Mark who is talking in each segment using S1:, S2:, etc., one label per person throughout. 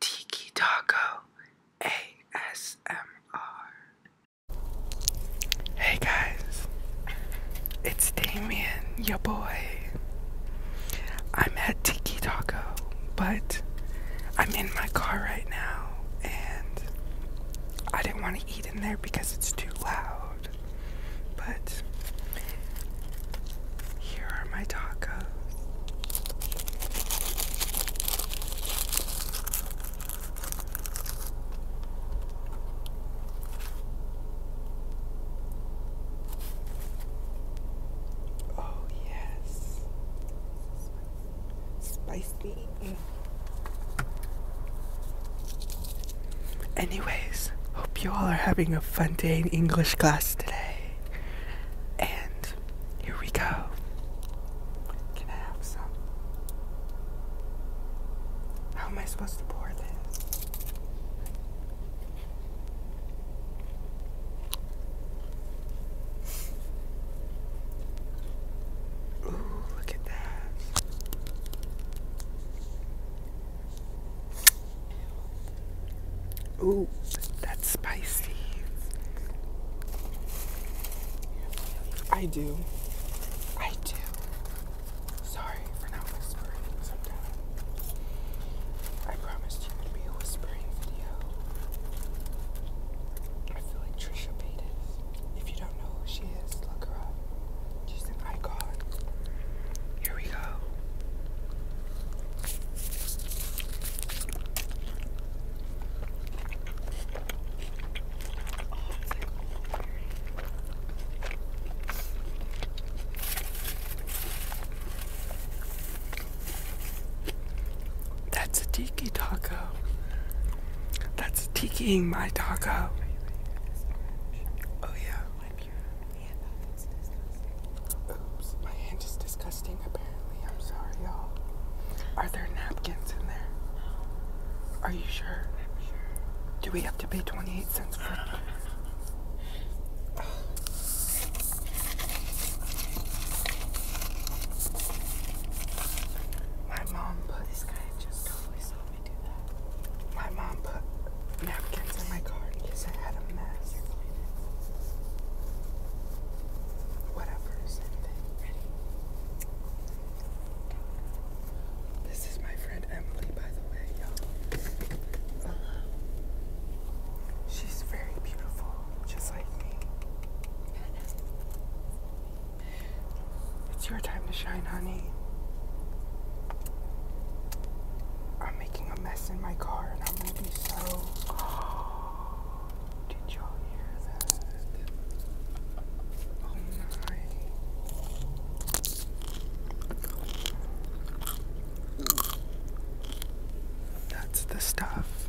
S1: Tiki Taco ASMR. Hey guys, it's Damien, your boy. I'm at Tiki Taco, but I'm in my car right now and I didn't want to eat in there because it's too loud. But here are my tacos. Oh, yes, spicy. Mm. Anyways, hope you all are having a fun day in English class today. And here we go. Can I have some? How am I supposed to pour this? Ooh, look at that. Ooh, that's spicy. I do. I do. Sorry for not whispering sometimes. I promised you would be a whispering video. I feel like Trisha Paytas. If you don't know who she is, look her up. She's an icon. Here we go. That's a tiki that's tikiing my taco. Oh yeah. Oops, my hand is disgusting apparently. I'm sorry, y'all. Are there napkins in there? Are you sure? Do we have to pay 28 cents for it? My mom put I just totally saw me do that. My mom put napkins in my car because I had a mess. Whatever, This is my friend Emily, by the way, you she's very beautiful, just like me. It's your time to shine, honey. I'm making a mess in my car and I'm gonna be so. did y'all hear that? Oh my. That's the stuff.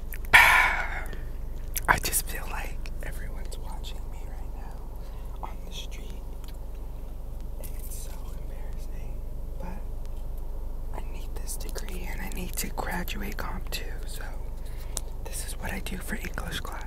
S1: I just feel like everyone's watching me right now on the street. And it's so embarrassing. But I need this degree and I need to graduate comp too. So this is what I do for English class.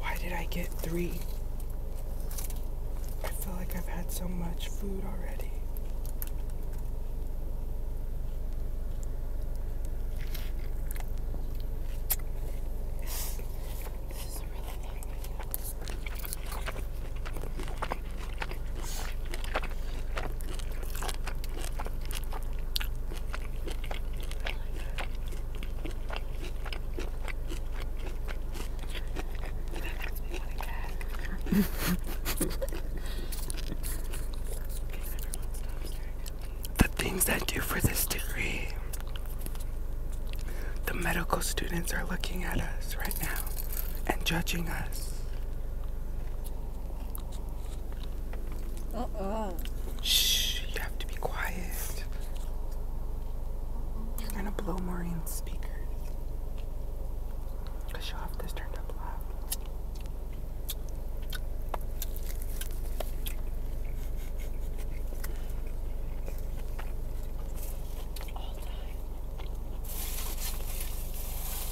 S1: Why did I get three? I feel like I've had so much food already. This is really angry the things that do for this degree. The medical students are looking at us right now and judging us. Shh, you have to be quiet. I'm gonna blow Maureen's speakers. Cause she'll turned up loud. All time.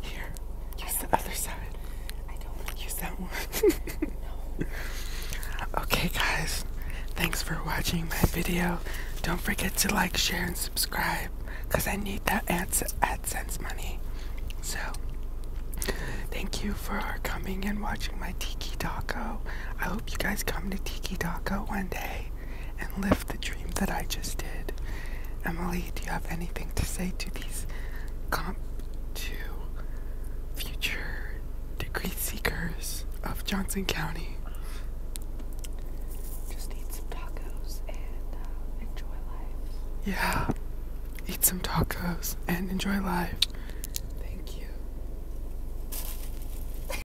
S1: Here. Use the other side. I don't want to use that one. Okay, guys. Thanks for watching my video. Don't forget to like, share, and subscribe because I need that ads AdSense money. So, thank you for coming and watching my Tiki Taco. I hope you guys come to Tiki Taco one day and live the dream that I just did. Emily, do you have anything to say to these comp to future degree seekers of Johnson County? Just eat some tacos and uh, enjoy life. Yeah, eat some tacos and enjoy life. Thank you.